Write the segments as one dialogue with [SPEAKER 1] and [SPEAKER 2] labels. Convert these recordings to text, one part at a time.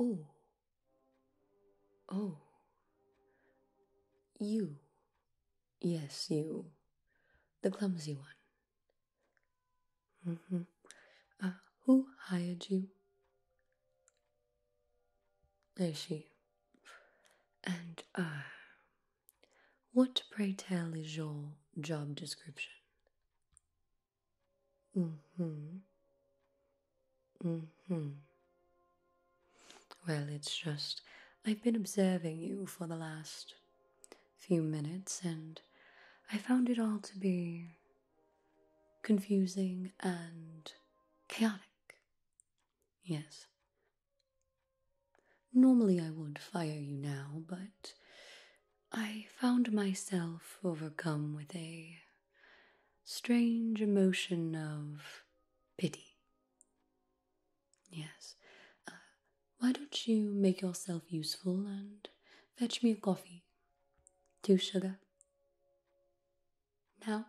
[SPEAKER 1] Oh, oh, you Yes, you. The clumsy one. Mm-hmm. Uh, who hired you? I see. And, uh, what pray tell is your job description? hmm. hmm. Well, it's just I've been observing you for the last few minutes and I found it all to be confusing and chaotic. Yes. Normally I would fire you now, but I found myself overcome with a strange emotion of pity. Yes. Uh, why don't you make yourself useful and fetch me coffee? Two sugar. Now?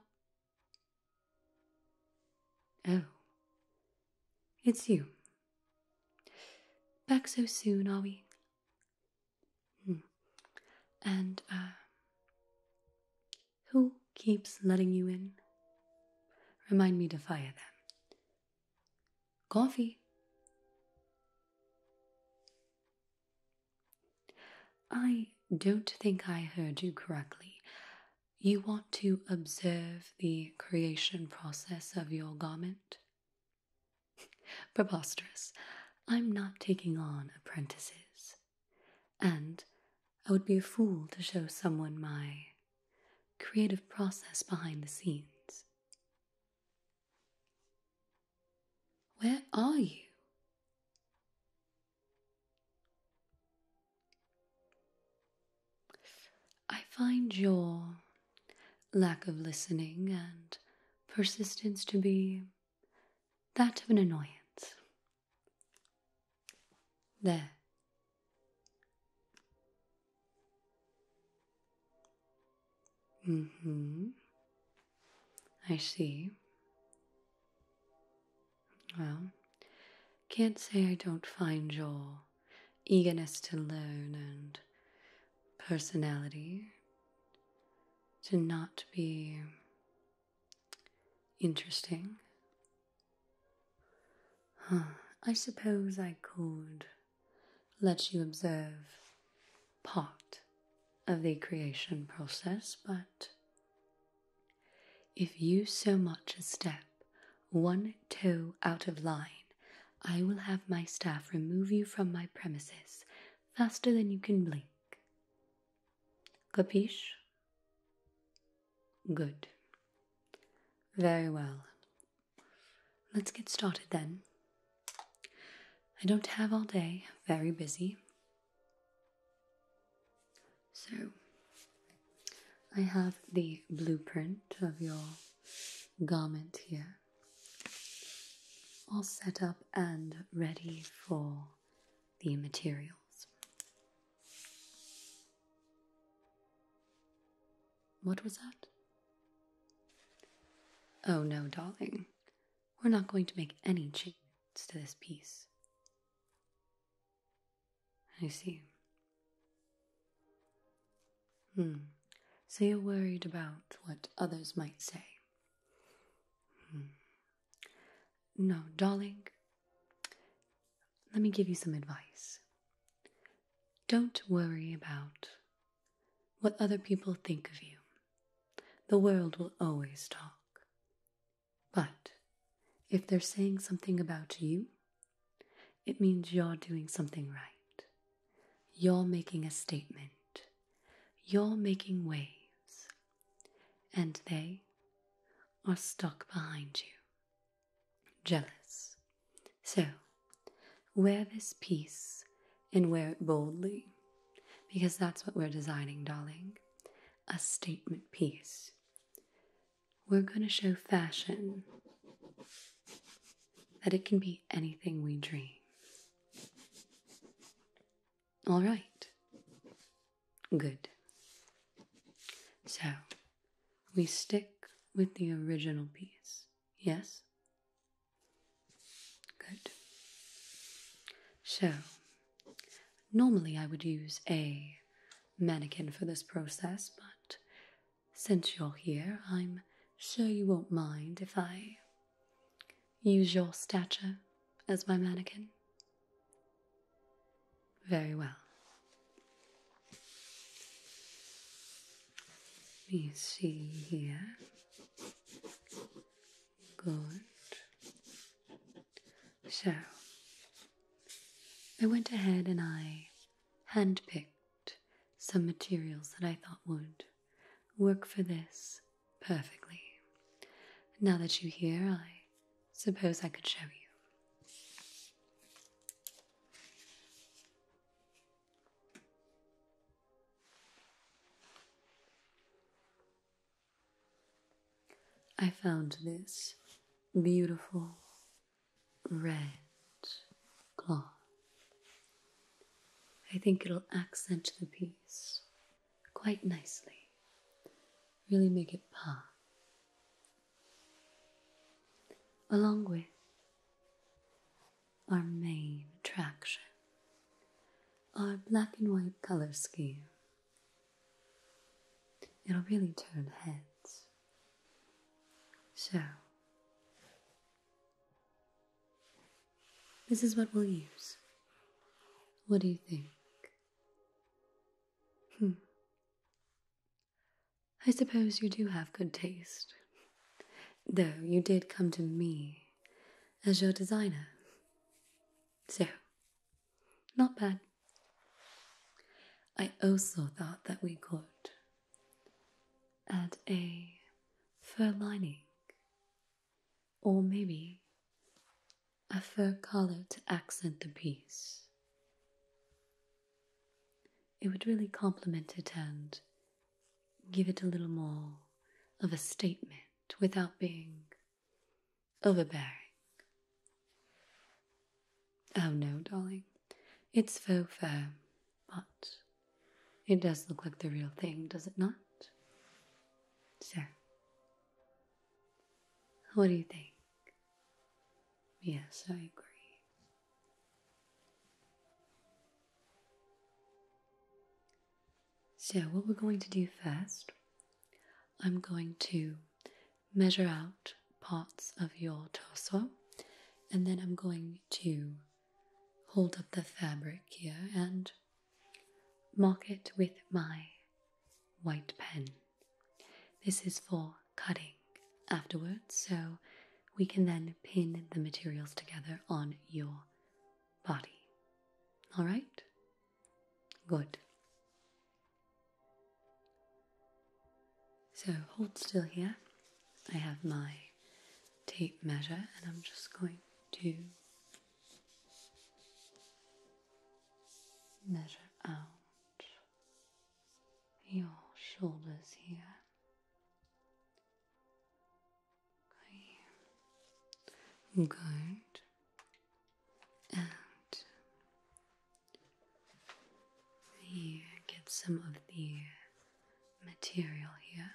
[SPEAKER 1] Oh. It's you. Back so soon, are we? Hmm. And, uh, who keeps letting you in? Remind me to fire them. Coffee. I don't think I heard you correctly. You want to observe the creation process of your garment? Preposterous. I'm not taking on apprentices and I would be a fool to show someone my creative process behind the scenes. Where are you? I find your lack of listening and persistence to be that of an annoyance. There. Mm hmm. I see. Well, can't say I don't find your eagerness to learn and personality to not be Interesting. I suppose I could let you observe part of the creation process, but if you so much as step one toe out of line, I will have my staff remove you from my premises faster than you can blink. Capiche? Good. Very well. Let's get started then. I don't have all day, very busy. So, I have the blueprint of your garment here, all set up and ready for the material. What was that? Oh no, darling. We're not going to make any changes to this piece. I see. Hmm. So you're worried about what others might say. Hmm. No, darling, let me give you some advice. Don't worry about what other people think of you. The world will always talk. But if they're saying something about you, it means you're doing something right. You're making a statement. You're making waves and they are stuck behind you, jealous. So, wear this piece and wear it boldly, because that's what we're designing, darling a statement piece. We're going to show fashion that it can be anything we dream. All right. Good. So, we stick with the original piece, yes? Good. So, normally I would use a mannequin for this process, but since you're here, I'm sure you won't mind if I use your stature as my mannequin. Very well. You see here. Good. So, I went ahead and I handpicked some materials that I thought would work for this perfectly. Now that you hear, I Suppose I could show you. I found this beautiful red cloth. I think it'll accent the piece quite nicely. Really make it pop. Along with our main attraction, our black and white color scheme. It'll really turn heads. So, this is what we'll use. What do you think? Hmm. I suppose you do have good taste, though you did come to me as your designer. So, not bad. I also thought that we could add a fur lining or maybe a fur collar to accent the piece. It would really complement it and give it a little more of a statement without being overbearing. Oh no, darling. It's faux fur, but it does look like the real thing, does it not? So, what do you think? Yes, I agree. So, what we're going to do first, I'm going to measure out parts of your torso and then I'm going to hold up the fabric here and Mark it with my white pen. This is for cutting afterwards, so we can then pin the materials together on your body. All right? Good. So hold still here. I have my tape measure and I'm just going to measure out your shoulders here. Good. And you get some of the material here.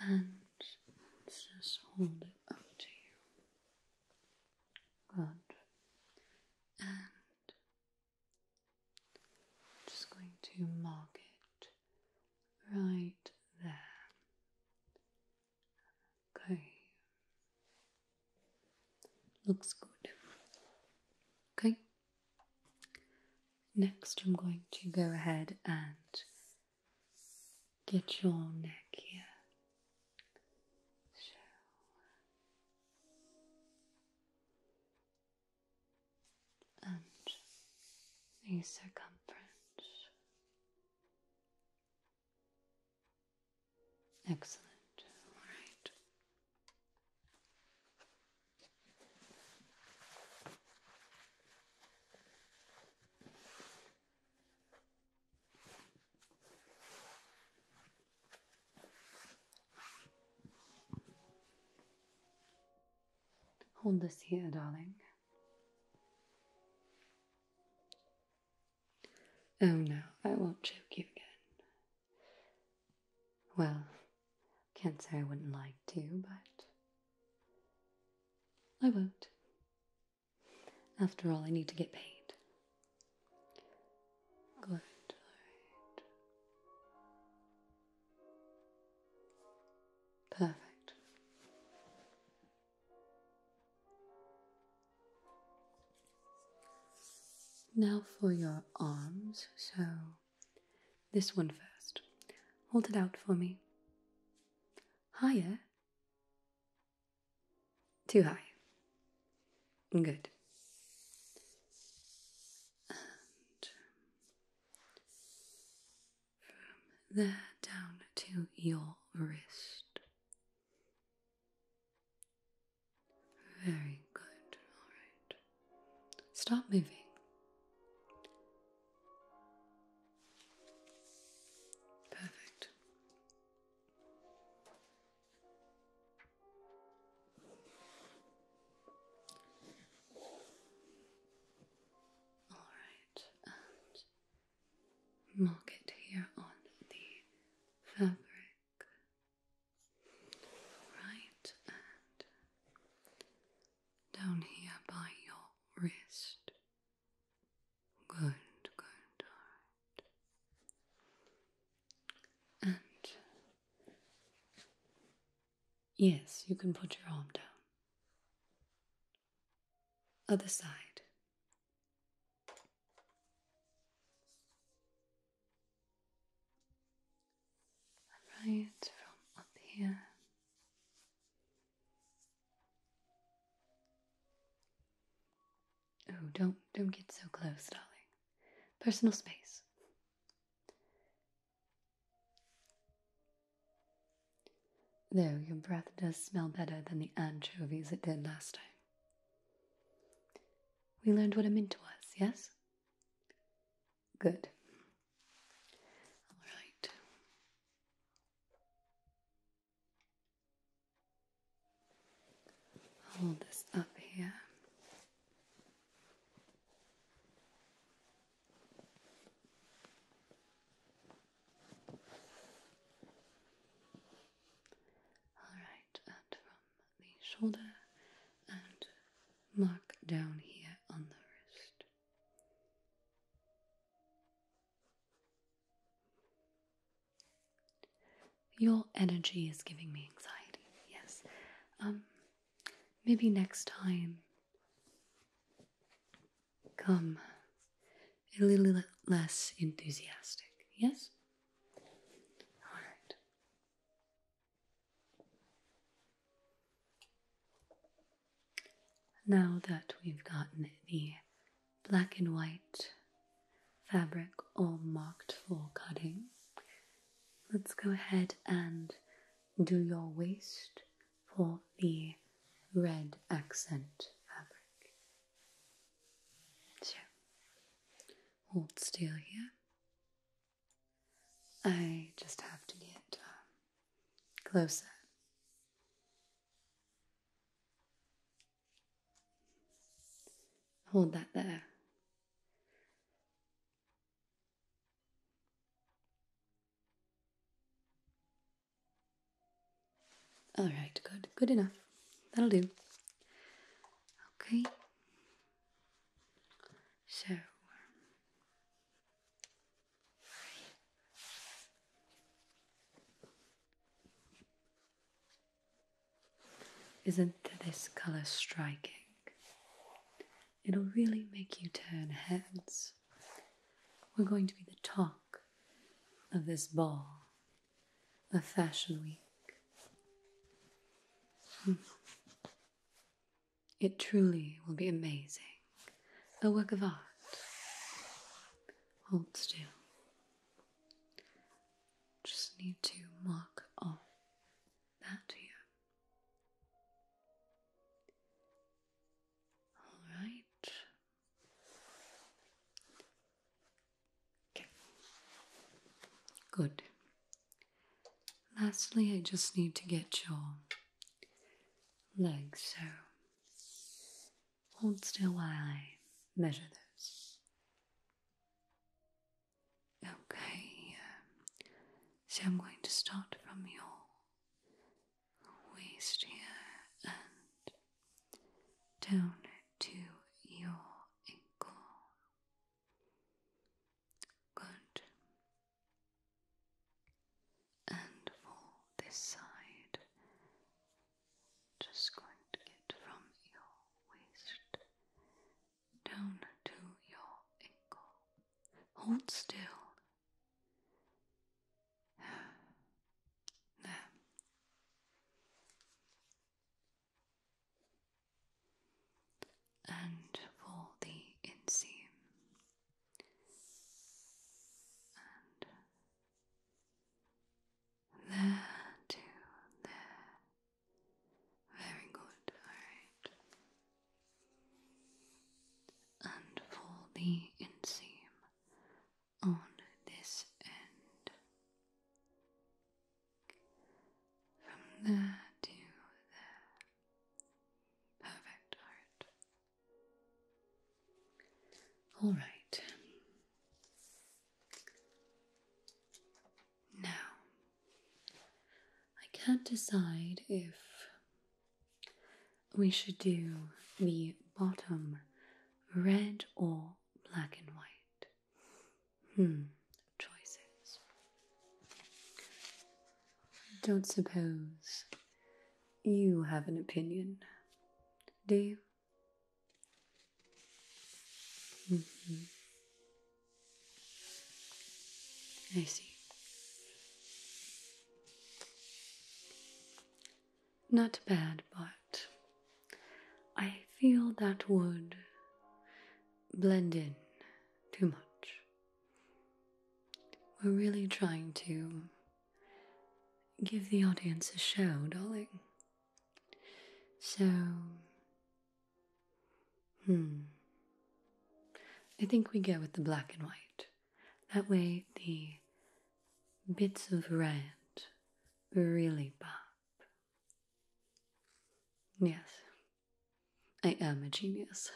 [SPEAKER 1] And just hold it up to you. Good. And just going to mark it right there. Okay. Looks good. Okay. Next, I'm going to go ahead and get your neck here. And the circumference Excellent. All right. Hold this here, darling. Oh no, I won't choke you again. Well, can't say I wouldn't like to, but I won't. After all, I need to get paid. Good, Perfect. Now for your arms. So, this one first. Hold it out for me. Higher. Too high. Good. And from there down to your wrist. Very good. All right. Stop moving. Perfect. All right, and mark it here on the fabric right and down here by your wrist. Good, good, alright. And yes, you can put your arm down. Other side right from up here. Oh, don't don't get so close, darling. Personal space. Though your breath does smell better than the anchovies it did last time. We learned what a mint was, yes? Good. All hold this up here. Alright, and from the shoulder and mark down here on the wrist. Your energy is giving me anxiety, yes. Um, maybe next time, come a little less enthusiastic, yes? All right. Now that we've gotten the black and white fabric all marked for cutting, let's go ahead and do your waist for the red accent fabric. So, hold still here. I just have to get um, closer. Hold that there. Alright, good. Good enough. That'll do. Okay. So. Isn't this colour striking? It'll really make you turn heads. We're going to be the talk of this ball a Fashion Week. Hmm. It truly will be amazing. A work of art. Hold still. Just need to mark off that here. Alright, Good. Lastly, I just need to get your legs, so hold still while I measure those. Okay, uh, so I'm going to start from your waist here and down to your ankle. Good. And for this side, just going to get from your waist down to your ankle. Hold still. There and for the inseam there to there. Very good, alright. And for the inseam on this end. From there to there. Perfect heart. All right. Now, I can't decide if we should do the bottom red or black and white. Hmm, choices. Don't suppose you have an opinion, do you? Mm I see not bad, but I feel that would blend in too much. We're really trying to give the audience a show, darling. So, hmm. I think we go with the black and white. That way, the bits of red really Bob? Yes, I am a genius.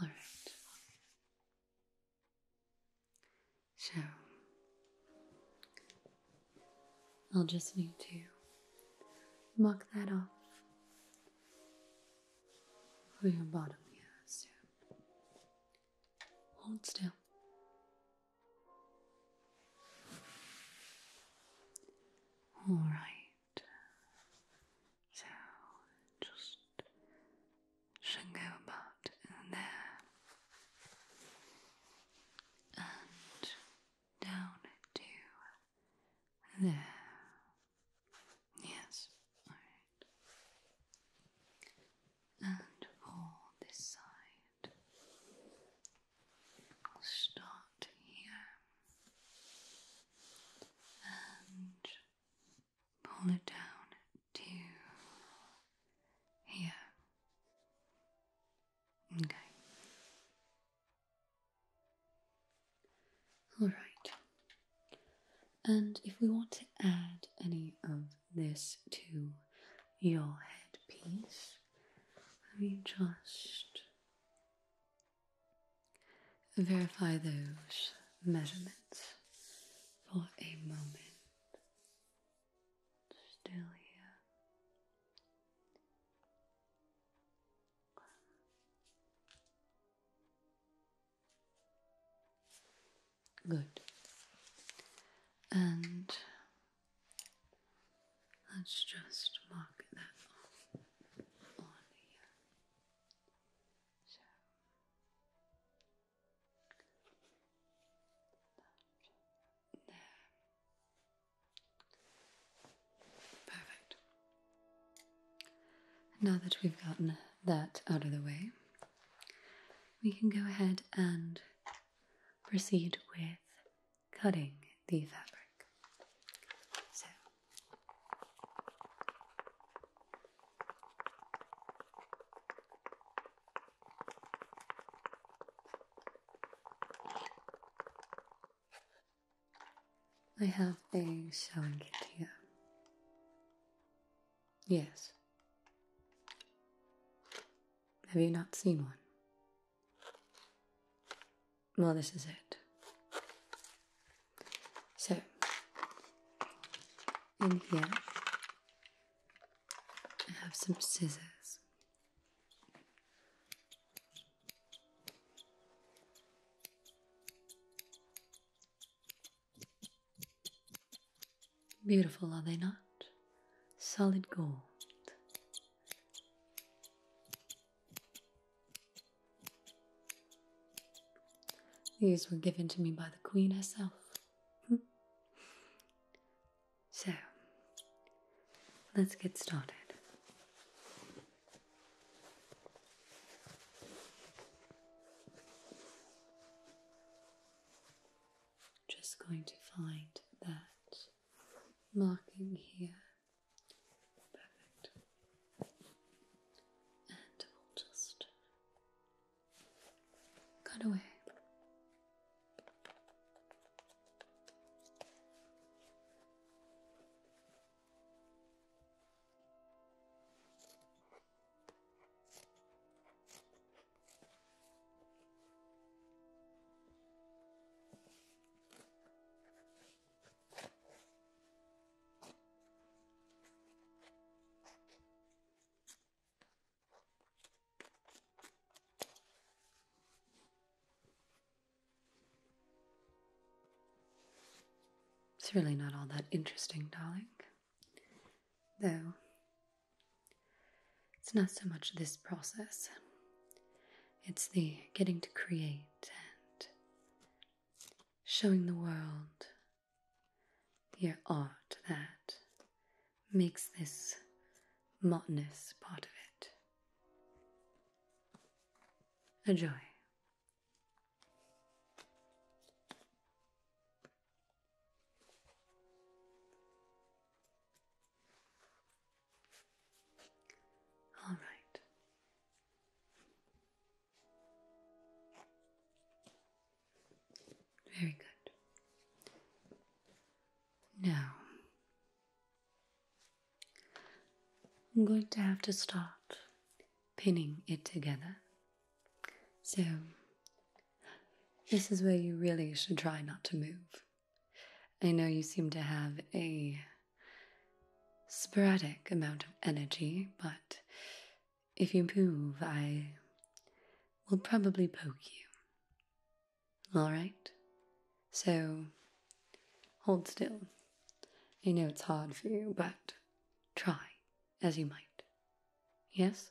[SPEAKER 1] All right. So, I'll just need to mark that off for your bottom here soon. Hold still. All right, so just go about there and down to there. Yes, all right. And for this side start here and pull it down to here. Okay. Alright. And if we want to add any of this to your headpiece. Let me just verify those measurements for a moment. Still here. Good. And let's just mark that off Perfect. Now that we've gotten that out of the way, we can go ahead and proceed with cutting the fabric. So, I have a sewing kit here. Yes. Have you not seen one? Well, this is it. So, in here, I have some scissors. Beautiful, are they not? Solid gold. These were given to me by the Queen herself. so, let's get started just going to find that marking here. And we'll just cut away. It's really not all that interesting, darling. Though it's not so much this process, it's the getting to create and showing the world your art that makes this monotonous part of it a joy. All right. Very good. Now, I'm going to have to start pinning it together so, this is where you really should try not to move. I know you seem to have a sporadic amount of energy, but if you move, I will probably poke you. All right? So, hold still. I know it's hard for you, but try as you might. Yes?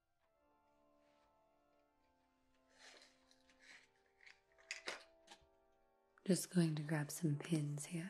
[SPEAKER 1] Just going to grab some pins here.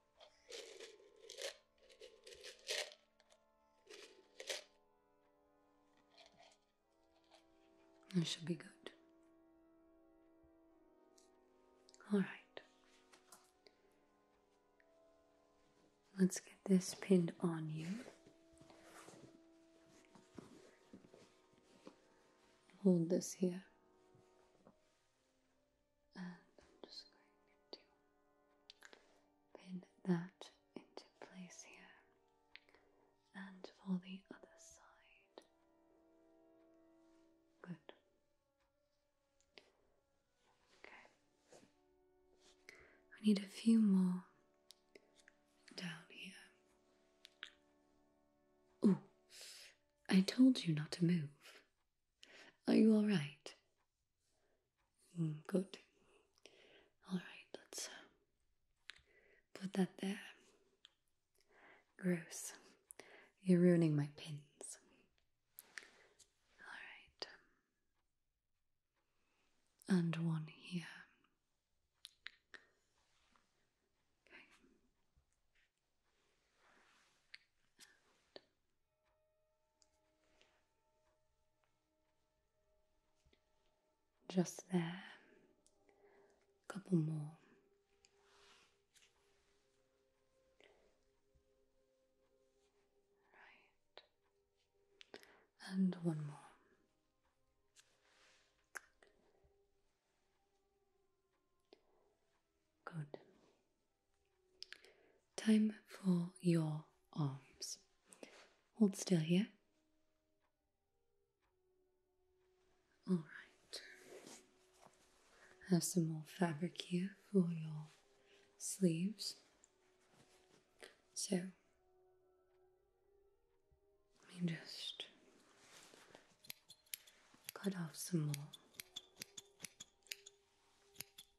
[SPEAKER 1] It should be good. All right. Let's get this pinned on you. Hold this here and I'm just going to pin that into place here and for the other side. Good. Okay. I need a few more down here. Oh, I told you not to move. Are you alright? Mm, good. All right, let's uh, put that there. Gross. You're ruining my pins. All right. And one here. Just there. A couple more. Right. And one more. Good. Time for your arms. Hold still here. All right. Have some more fabric here for your sleeves. So, let me just cut off some more.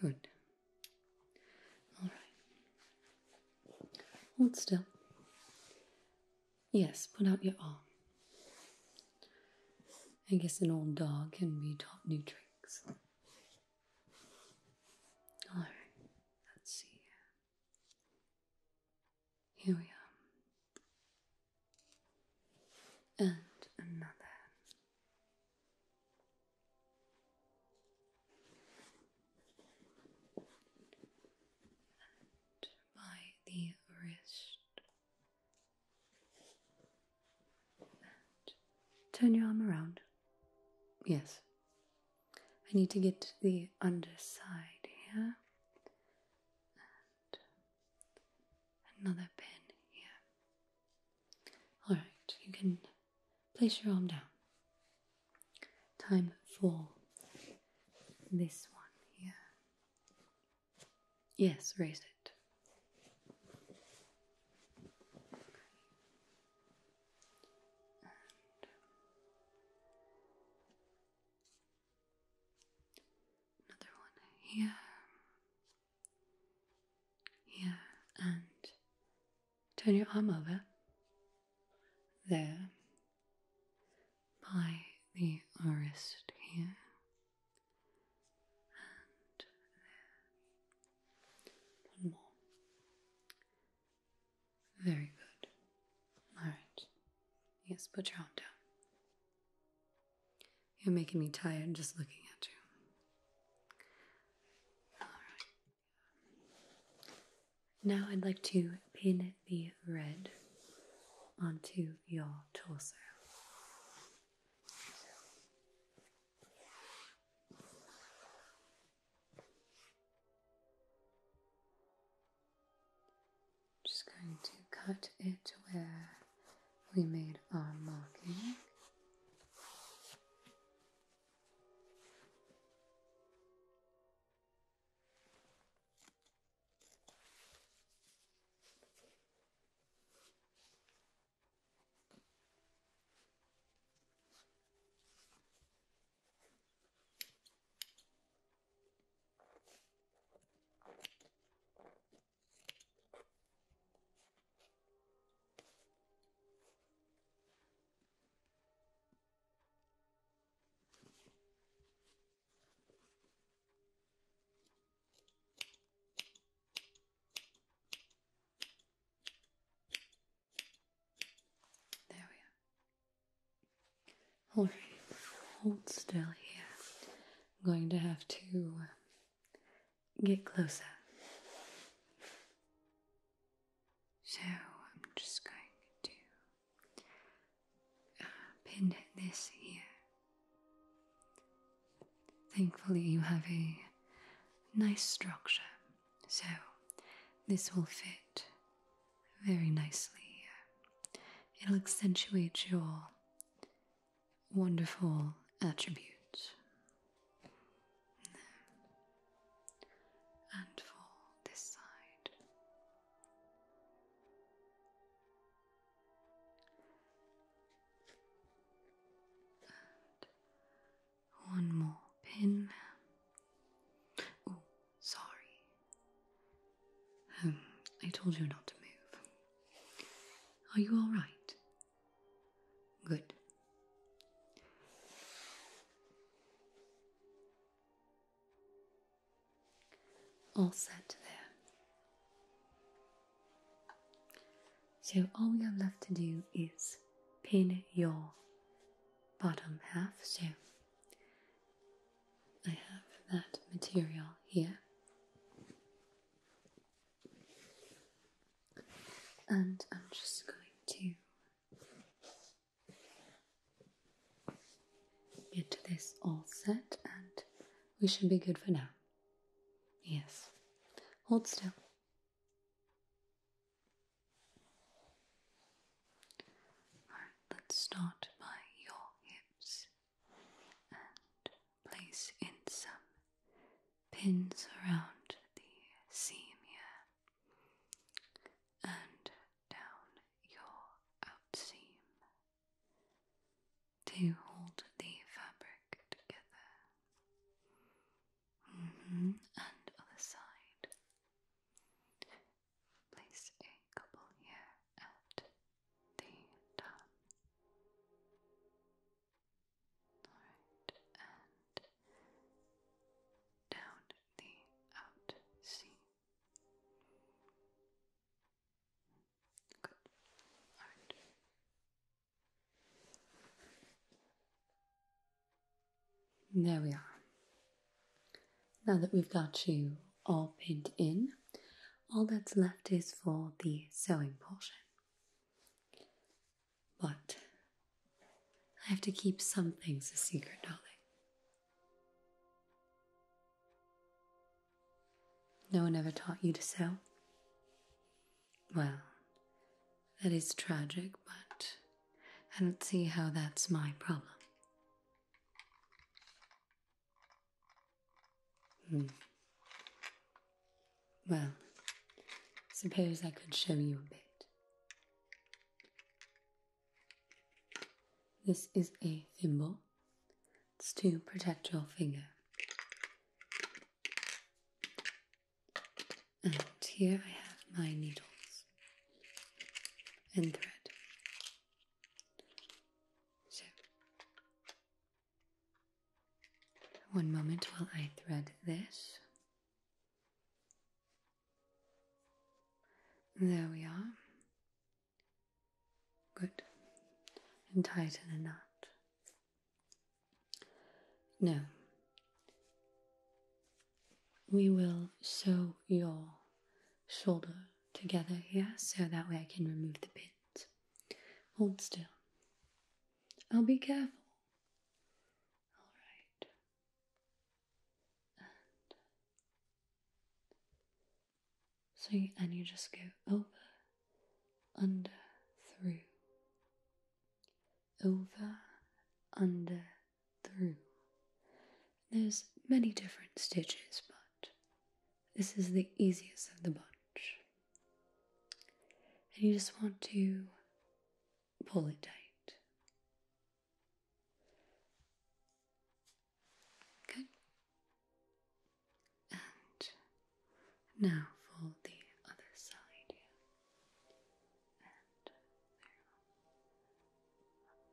[SPEAKER 1] Good. All right. Hold still. Yes, put out your arm. I guess an old dog can be taught new tricks. All right. Let's see. Here we are. And another by the wrist. turn your arm around. Yes. I need to get to the underside here. another pin here. All right, you can place your arm down. Time for this one here. Yes, raise it. another one here. Yeah, and turn your arm over. There. By the wrist here. And there. One more. Very good. Alright. Yes, put your arm down. You're making me tired just looking at you. Now I'd like to pin the red onto your torso. just going to cut it where we made our marking. There we are. All right, hold still here. I'm going to have to get closer. So I'm just going to uh, pin this here. Thankfully, you have a nice structure, so this will fit very nicely It'll accentuate your wonderful attribute. And for this side, one more pin. Oh, sorry. Um, I told you not to move. Are you all right? Good. All set there. So all we have left to do is pin your bottom half. So I have that material here and I'm just going to get this all set, and we should be good for now. Yes, hold still. Alright, let's start by your hips place in some pins around the seam here and down your out seam to hold the fabric together. Mm -hmm. And other side. Place a couple here at the top. There we are. Now that we've got you all pinned in, all that's left is for the sewing portion. But I have to keep some things a secret, darling. No one ever taught you to sew? Well, that is tragic, but I don't see how that's my problem. Hmm. Well, suppose I could show you a bit. This is a thimble. It's to protect your finger. And here I have my needles and thread. So, one moment while I thread this. There we are. Good. And tighten the knot. No. We will sew your shoulder together here so that way I can remove the pins. Hold still. I'll be careful. All right. so, and you just go over, under, through. Over, under, through. There's many different stitches, but this is the easiest of the bunch and you just want to pull it tight. Good. And now fold the other side in.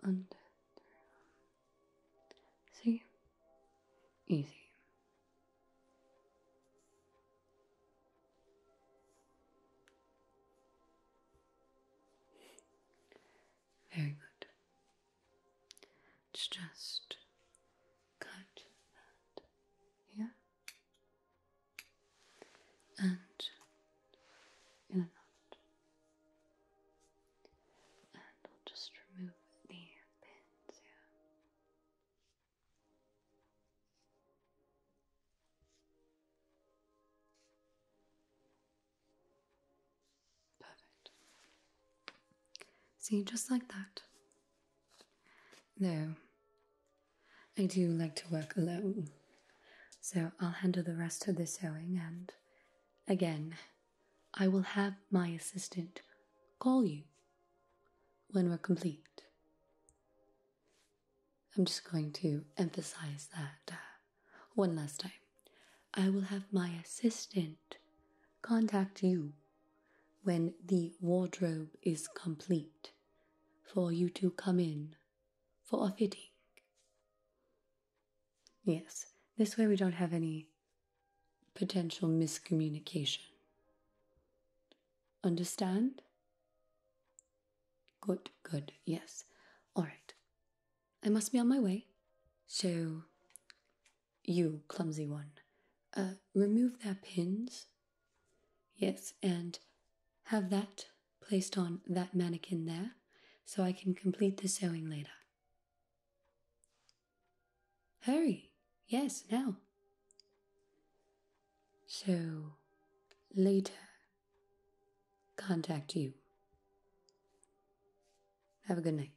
[SPEAKER 1] and under, See, Easy. Very good. It's just cut here and in a knot. And I'll just remove the pins here. Perfect. See, just like that. No, I do like to work alone, so I'll handle the rest of the sewing, and again, I will have my assistant call you when we're complete. I'm just going to emphasize that uh, one last time. I will have my assistant contact you when the wardrobe is complete for you to come in for a fitting. Yes, this way we don't have any potential miscommunication. Understand? Good, good, yes. All right. I must be on my way. So, you, clumsy one, uh, remove that pins. Yes, and have that placed on that mannequin there so I can complete the sewing later. Hurry, yes, now. So, later, contact you. Have a good night.